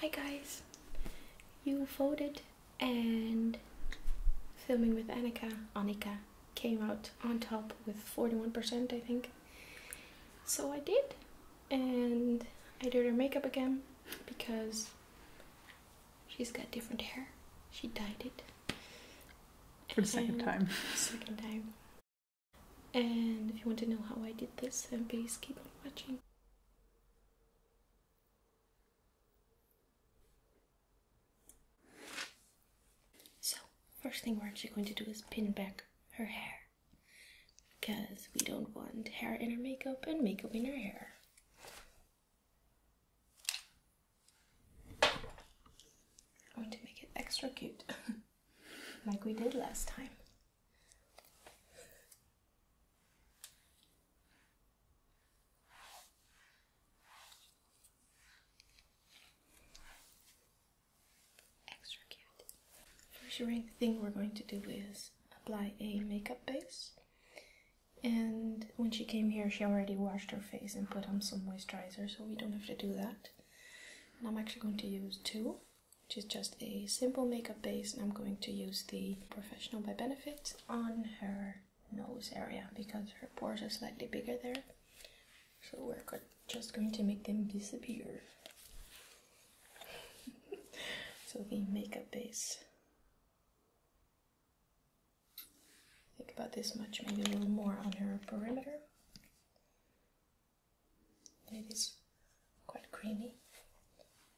Hi guys, you voted and filming with Anika. Anika came out on top with 41% I think. So I did and I did her makeup again because she's got different hair. She dyed it. For the second time. second time. And if you want to know how I did this then please keep on watching. So, first thing we're actually going to do is pin back her hair because we don't want hair in her makeup and makeup in her hair. going to make it extra cute like we did last time. First thing we're going to do is apply a makeup base. And when she came here, she already washed her face and put on some moisturizer, so we don't have to do that. And I'm actually going to use two which is just a simple makeup base, and I'm going to use the Professional by Benefit on her nose area because her pores are slightly bigger there. So we're just going to make them disappear. so the makeup base. Think about this much, maybe a little more on her perimeter. It is quite creamy.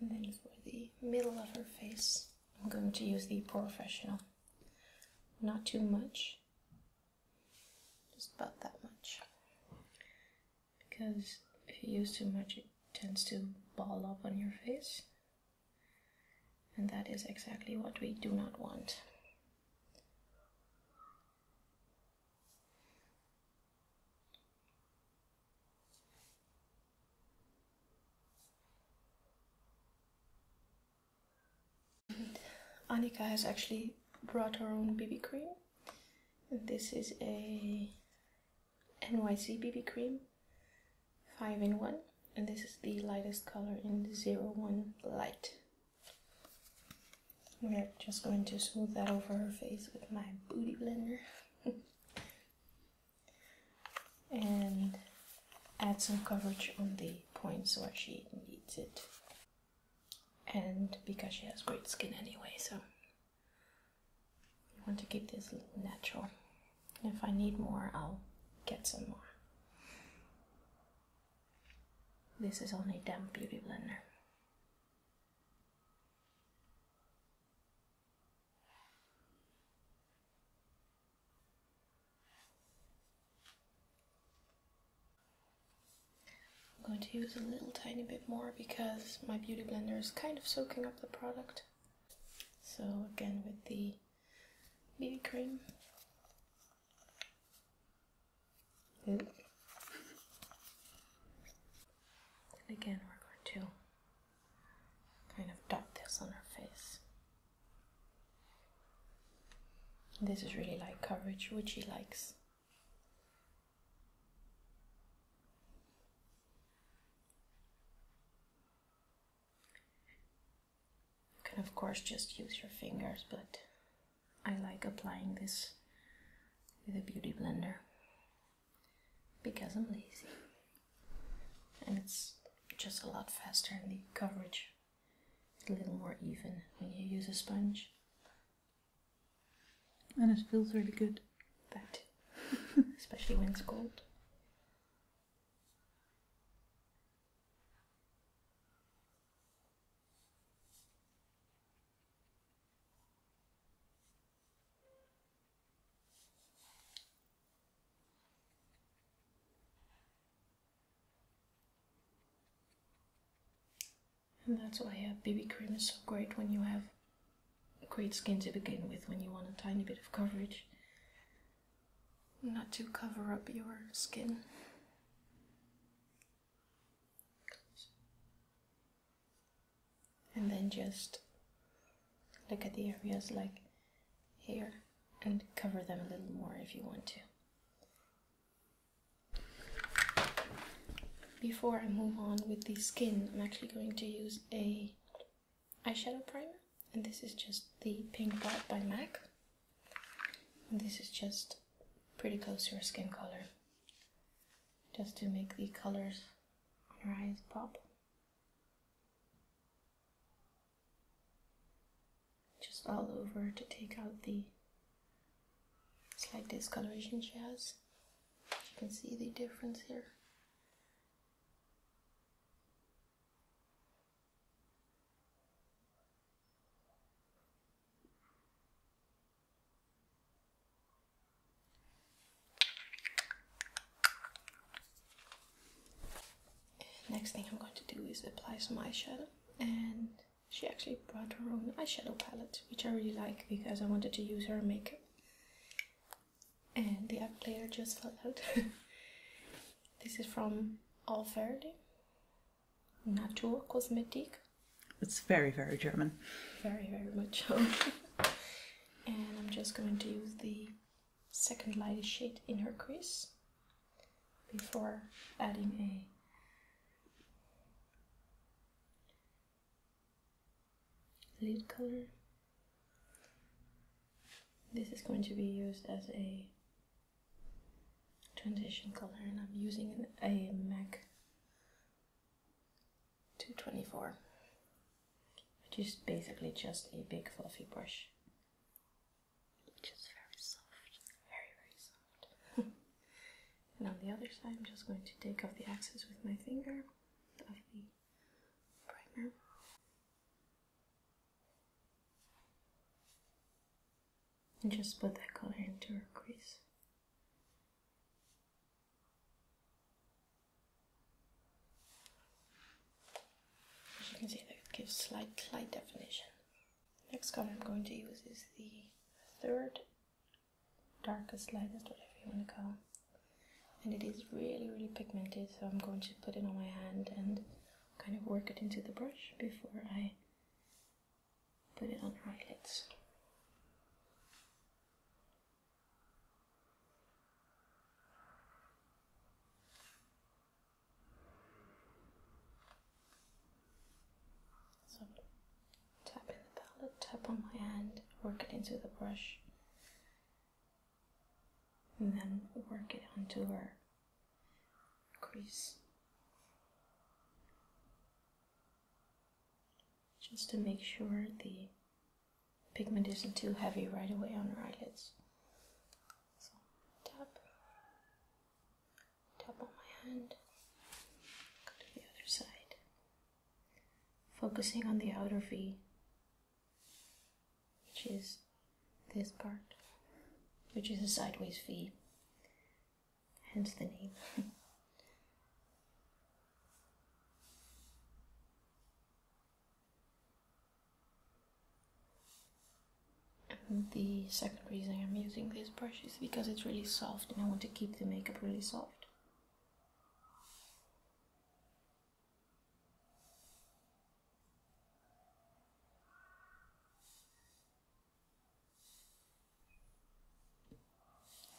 And then for the middle of her face, I'm going to use the professional. Not too much, just about that much. Because if you use too much, it tends to ball up on your face. And that is exactly what we do not want. Anika has actually brought her own BB cream. This is a NYC BB cream 5 in 1 and this is the lightest color in the 01 light. We're just going to smooth that over her face with my booty blender. and add some coverage on the points where she needs it. And because she has great skin anyway, so I want to keep this natural. If I need more, I'll get some more. This is only a damp beauty blender. I'm going to use a little tiny bit more because my beauty blender is kind of soaking up the product. So again with the BB cream. And again, we're going to kind of dot this on her face. This is really light coverage, which she likes. You can, of course, just use your fingers, but I like applying this with a beauty blender because I'm lazy and it's just a lot faster and the coverage is a little more even when you use a sponge. And it feels really good. That Especially when it's cold. And that's why uh, BB cream is so great when you have great skin to begin with, when you want a tiny bit of coverage. Not to cover up your skin and then just look at the areas like here and cover them a little more if you want to. Before I move on with the skin, I'm actually going to use a eyeshadow primer and this is just the pink dot by MAC this is just pretty close to your skin color just to make the colors on her eyes pop. Just all over to take out the slight discoloration she has. You can see the difference here. Next thing I'm going to do is apply some eyeshadow, and she actually brought her own eyeshadow palette, which I really like because I wanted to use her makeup. And the app player just fell out. this is from Alverde Natur Cosmetique. It's very, very German. Very, very much so. and I'm just going to use the second lightest shade in her crease before adding a lid color. This is going to be used as a transition color and I'm using a MAC 224, which is basically just a big fluffy brush, which very soft, very, very soft. and on the other side, I'm just going to take off the excess with my finger of the primer. And just put that color into her crease. As you can see, that gives slight, slight definition. Next color I'm going to use is the third darkest, lightest, whatever you want to call and it is really really pigmented so I'm going to put it on my hand and kind of work it into the brush before I put it on my lids so tap in the palette, tap on my hand, work it into the brush, and then work it onto her crease just to make sure the pigment isn't too heavy right away on our eyelids. So tap, tap on my hand, go to the other side, focusing on the outer V, which is this part, which is a sideways V, hence the name. the second reason I'm using this brush is because it's really soft and I want to keep the makeup really soft.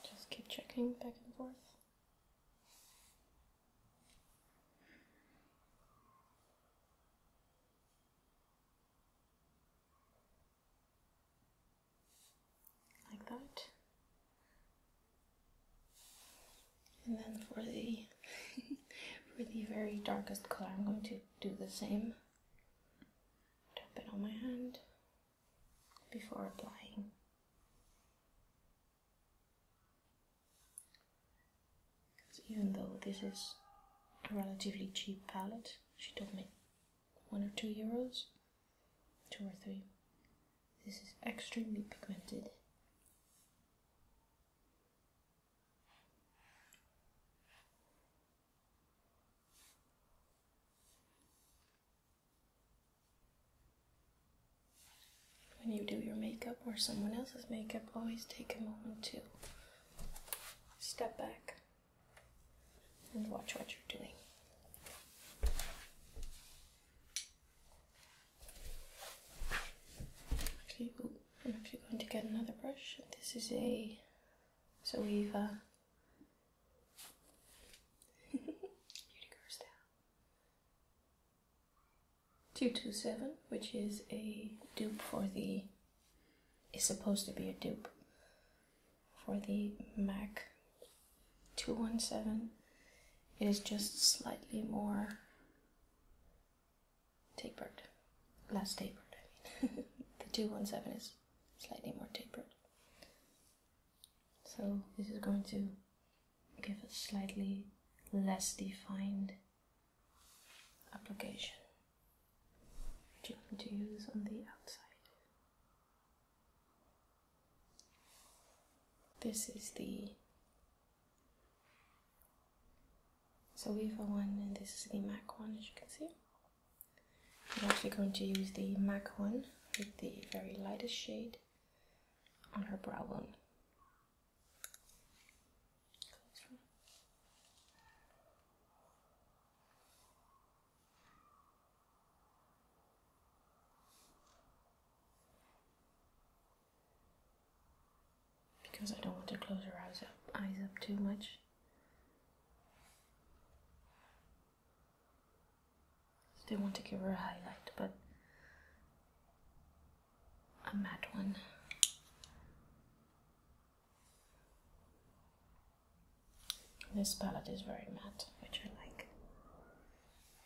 Just keep checking back and forth. Like that. And then for the for the very darkest color, I'm going to do the same. Tap it on my hand before applying. Because even though this is a relatively cheap palette, she told me one or two euros, two or three. This is extremely pigmented. When you do your makeup or someone else's makeup, always take a moment to step back and watch what you're doing. Actually, I'm actually going to get another brush. This is a Zoeva Beauty goes down. 227, which is a dupe for the. is supposed to be a dupe for the MAC 217. It is just slightly more tapered, less tapered. I mean, the two one seven is slightly more tapered. So this is going to give a slightly less defined application which you want to use on the outside. This is the so we have a one and this is the MAC one as you can see. I'm actually going to use the MAC one with the very lightest shade on her brow bone. Because I don't want to close her eyes up, eyes up too much. They want to give her a highlight, but a matte one. This palette is very matte, which I like,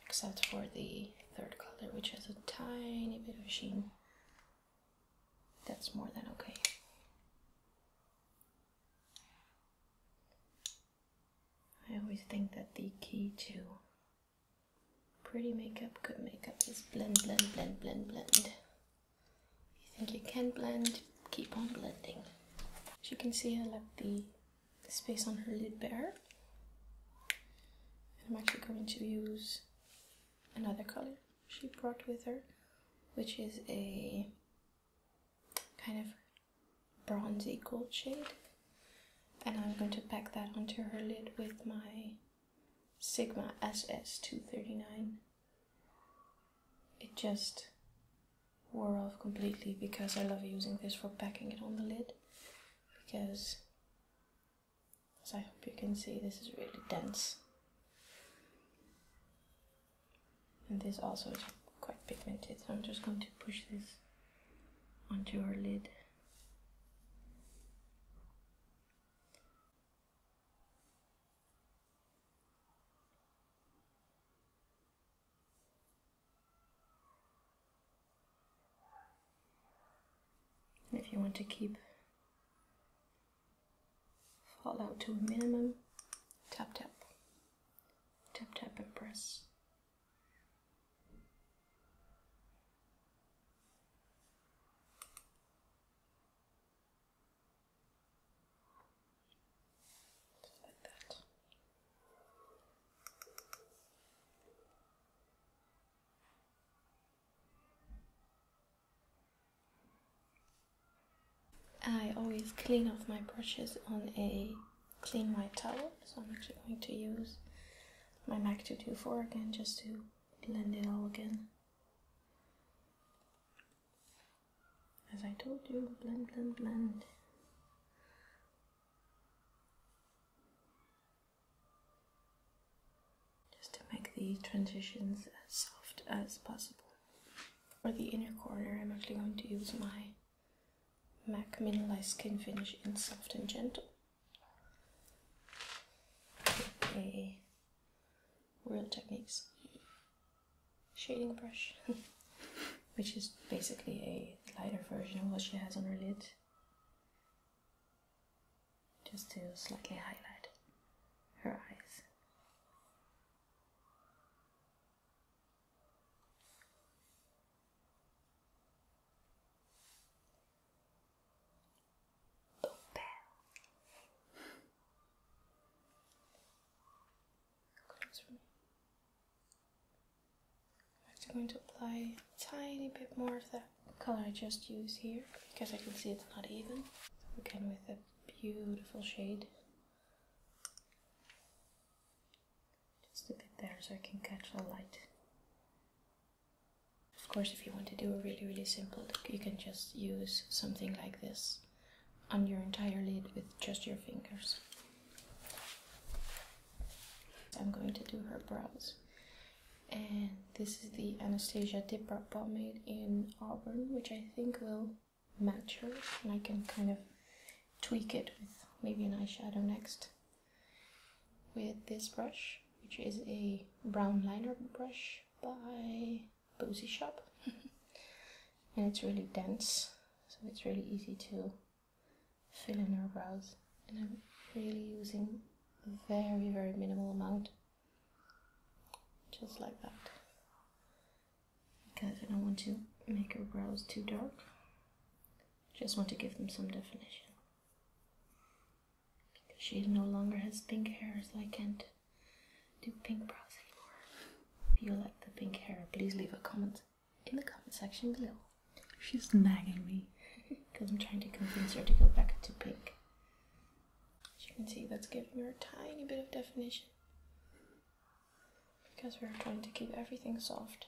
except for the third color, which has a tiny bit of sheen. That's more than okay. I always think that the key to pretty makeup, good makeup is blend, blend, blend, blend, blend. If you think you can blend, keep on blending. As you can see, I left the space on her lid bare. I'm actually going to use another color she brought with her, which is a kind of bronzy gold shade. And I'm going to pack that onto her lid with my Sigma SS239. It just wore off completely because I love using this for packing it on the lid. Because, as I hope you can see, this is really dense. And this also is quite pigmented, so I'm just going to push this onto her lid. if you want to keep fallout to a minimum, tap tap, tap tap and press. I always clean off my brushes on a clean my towel. So I'm actually going to use my MAC 224 again just to blend it all again. As I told you, blend, blend, blend. Just to make the transitions as soft as possible. For the inner corner, I'm actually going to use my MAC Mineralized Skin Finish in Soft and Gentle. A Real Techniques shading brush, which is basically a lighter version of what she has on her lid, just to slightly highlight her eyes. Ton Close for me. I'm actually going to apply a tiny bit more of that color I just used here because I can see it's not even. Again with a beautiful shade. Just a bit there so I can catch the light. Of course, if you want to do a really, really simple look, you can just use something like this on your entire lid with just your fingers. I'm going to do her brows. And this is the Anastasia Dip Brow Pomade in Auburn, which I think will match her. And I can kind of tweak it with maybe an eyeshadow next with this brush, which is a brown liner brush by Boozy Shop, and it's really dense, so it's really easy to fill in our brows. And I'm really using a very, very minimal amount, just like that because I don't want to make her brows too dark. Just want to give them some definition. Because she no longer has pink hair, so I can't do pink brows anymore. If you like the pink hair, please leave a comment in the comment section below. She's nagging me. Because I'm trying to convince her to go back to pink. As you can see, that's giving her a tiny bit of definition. Because we're trying to keep everything soft.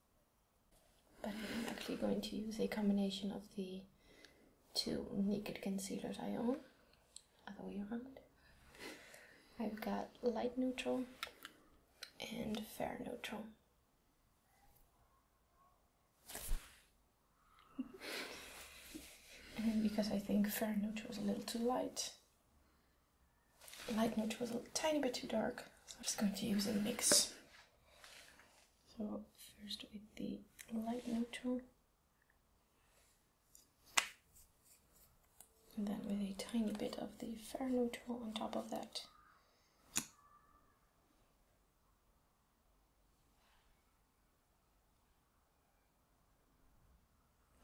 But I'm actually going to use a combination of the two Naked concealers I own, other way around. I've got light neutral and fair neutral. and because I think fair neutral is a little too light, light neutral is a tiny bit too dark, I'm just going to use a mix. So first with the light neutral and then with a tiny bit of the fair neutral on top of that.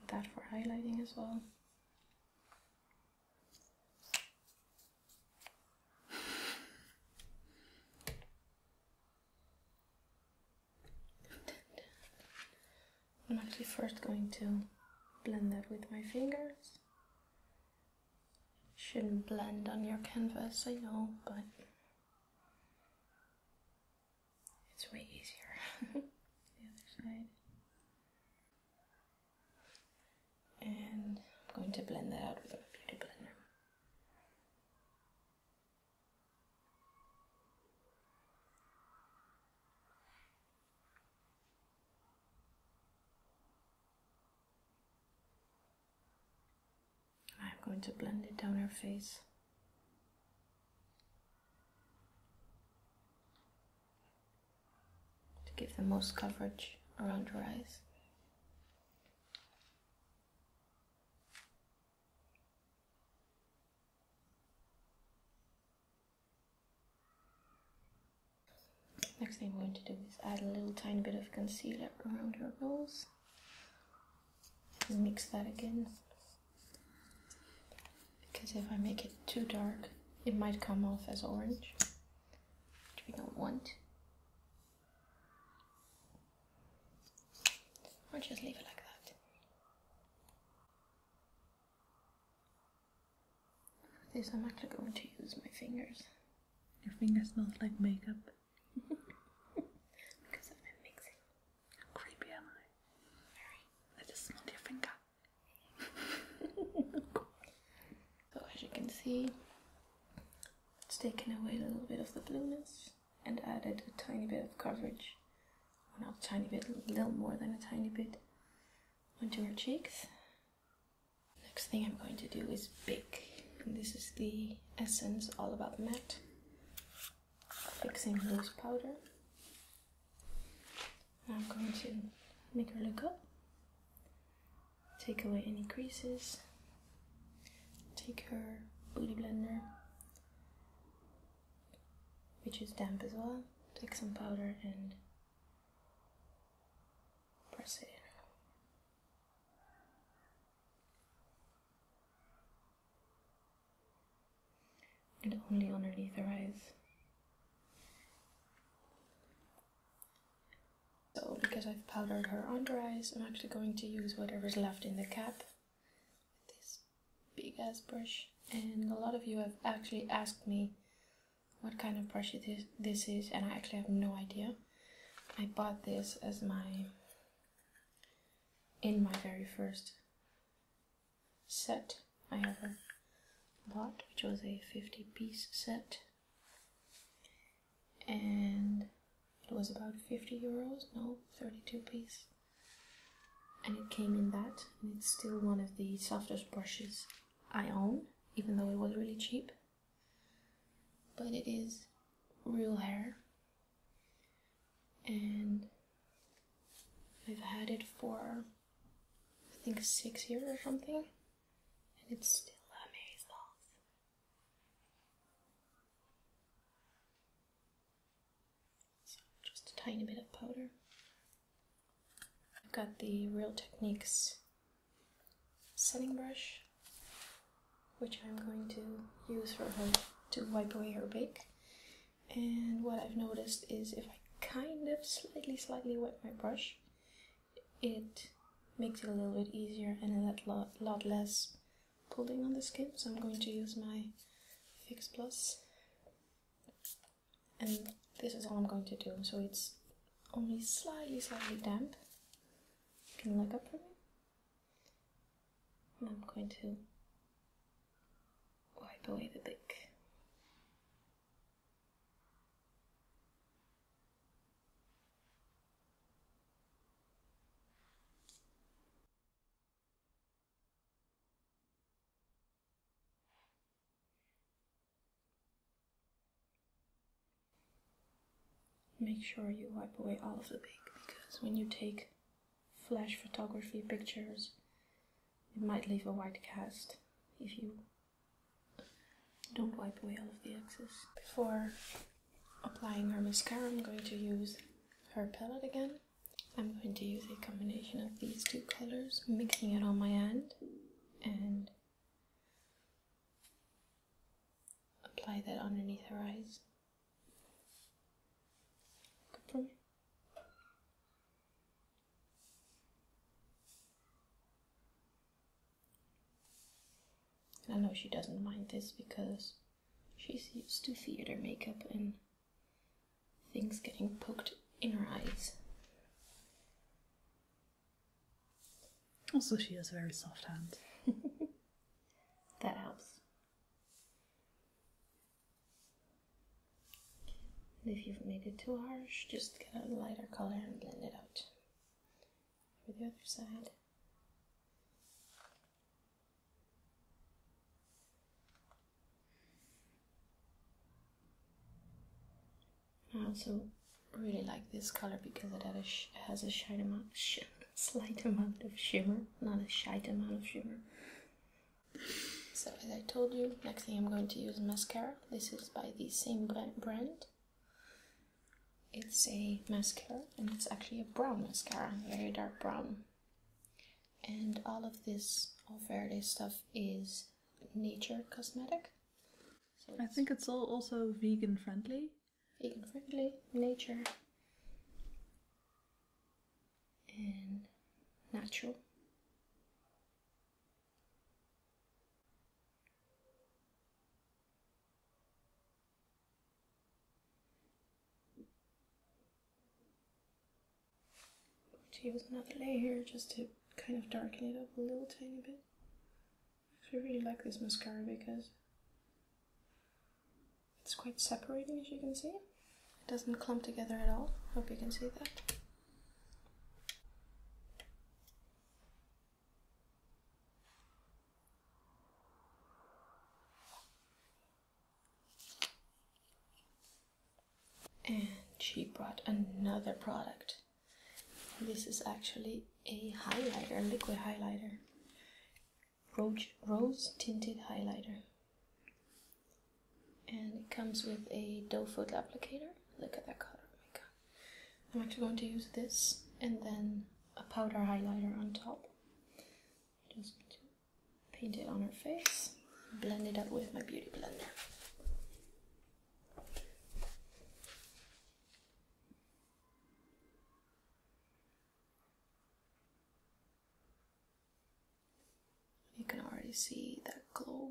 That for highlighting as well. I'm actually first going to blend that with my fingers. Shouldn't blend on your canvas, I know, but it's way easier. the other side and I'm going to blend that out with a beauty blender. I'm going to blend it down her face. To give the most coverage around her eyes. Next thing I'm going to do is add a little tiny bit of concealer around her nose. Mix that again. Because if I make it too dark, it might come off as orange, which we don't want. Or just leave it like that. this, I'm actually going to use my fingers. Your fingers smell like makeup. because I've been mixing. How creepy am I? Very. I just smelled your finger. so as you can see, it's taken away a little bit of the blueness and added a tiny bit of coverage. Well, not a tiny bit, a little more than a tiny bit onto her cheeks. Next thing I'm going to do is bake. And this is the Essence All About Matte Fixing Loose Powder. And I'm going to make her look up Take away any creases. Take her booty blender, which is damp as well. Take some powder and press it in. And only underneath her eyes. So because I've powdered her under eyes, I'm actually going to use whatever's left in the cap with this big ass brush. And a lot of you have actually asked me what kind of brush it is, this is, and I actually have no idea. I bought this as my in my very first set I ever bought, which was a 50 piece set and it was about 50 euros, no, 32 piece. And it came in that, and it's still one of the softest brushes I own, even though it was really cheap. But it is real hair, and I've had it for I think six years or something, and it's still amazing just a tiny bit of powder. I've got the Real Techniques setting brush, which I'm going to use for her to wipe away her bake. And what I've noticed is if I kind of slightly, slightly wet my brush, it makes it a little bit easier and a lot, lot less pulling on the skin. So I'm going to use my Fix And this is all I'm going to do. So it's only slightly, slightly damp. You can look up for me. And I'm going to wipe away the big Make sure you wipe away all of the bake because when you take flash photography pictures, it might leave a white cast if you don't wipe away all of the excess. Before applying her mascara, I'm going to use her palette again. I'm going to use a combination of these two colors, mixing it on my hand and apply that underneath her eyes. Good for me. I know she doesn't mind this because she's used to theater makeup and things getting poked in her eyes. Also, she has very soft hands. that helps. if you've made it too harsh, just get a lighter color and blend it out for the other side. I also really like this color because it, has a slight amount of shimmer, not a slight amount of shimmer. So as I told you, next thing I'm going to use mascara. This is by the same brand. It's a mascara and it's actually a brown mascara, very dark brown. And all of this all Verde stuff is nature cosmetic. I think it's all also vegan friendly. Vegan friendly, nature and natural. Just use another layer just to kind of darken it up a little tiny bit. I really like this mascara because it's quite separating as you can see. It doesn't clump together at all. Hope you can see that. And she brought another product. This is actually a highlighter, liquid highlighter, rose, rose tinted highlighter. And it comes with a doe foot applicator. Look at that color, oh I'm actually going to use this and then a powder highlighter on top. Just to paint it on her face, blend it up with my beauty blender. You can already see that glow.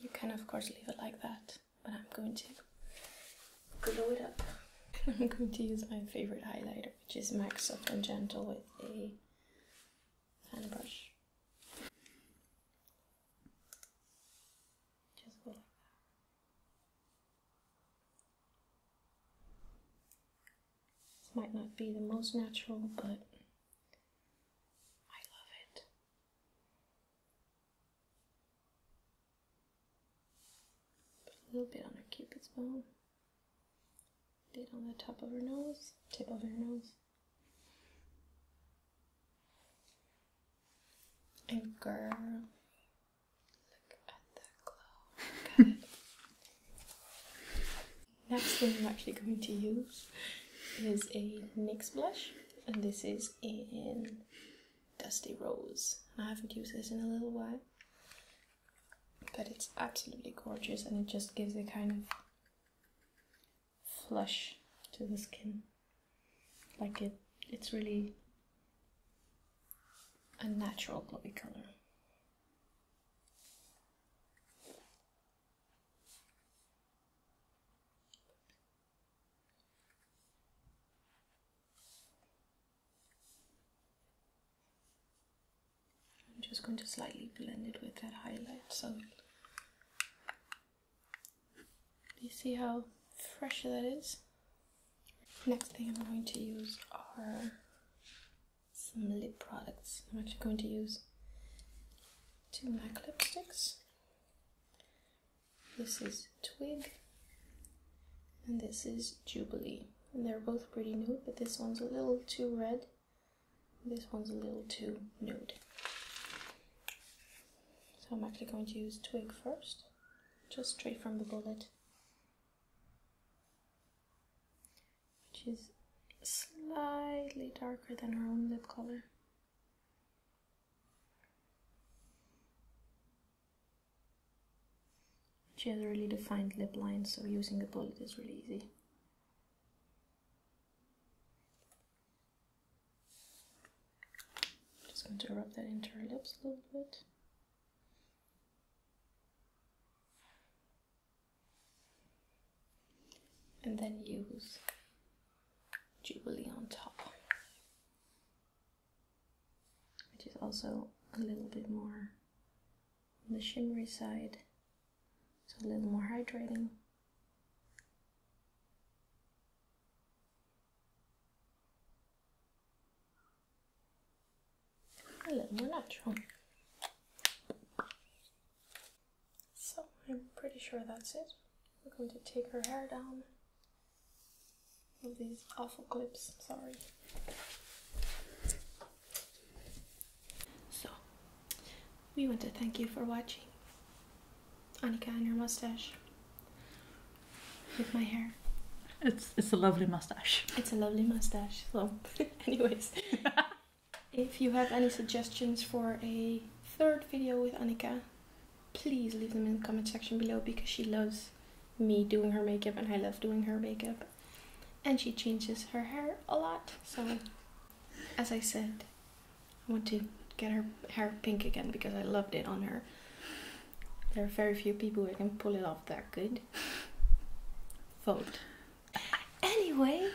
You can, of course, leave it like that, but I'm going to glow it up. I'm going to use my favorite highlighter, which is MAC Soft and Gentle with a fan brush. Just go like that. This might not be the most natural, but I love it a little bit on her cupid's bow. A bit on the top of her nose, tip of her nose. And girl, look at the glow. Next thing I'm actually going to use is a NYX blush, and this is in Dusty Rose. I haven't used this in a little while, but it's absolutely gorgeous and it just gives a kind of flush to the skin. Like it, it's really a natural glowy color. I'm just going to slightly blend it with that highlight so you see how fresh that is? Next thing I'm going to use are some lip products. I'm actually going to use two MAC lipsticks. This is Twig, and this is Jubilee. And they're both pretty nude. but this one's a little too red, this one's a little too nude. So I'm actually going to use Twig first, just straight from the bullet, which is slightly darker than her own lip color. Generally defined lip line, so using the bullet is really easy. Just going to rub that into her lips a little bit. And then use Jubilee on top, which is also a little bit more the shimmery side, so a little more hydrating. A little more natural. So I'm pretty sure that's it. We're going to take her hair down. With these awful clips, sorry. So, we want to thank you for watching Annika and her mustache with my hair. It's it's a lovely mustache. It's a lovely mustache. So, anyways, if you have any suggestions for a third video with Annika, please leave them in the comment section below because she loves me doing her makeup and I love doing her makeup. And she changes her hair a lot. So, as I said, I want to get her hair pink again because I loved it on her. There are very few people who can pull it off that good. Vote. Anyway,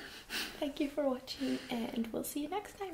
thank you for watching and we'll see you next time.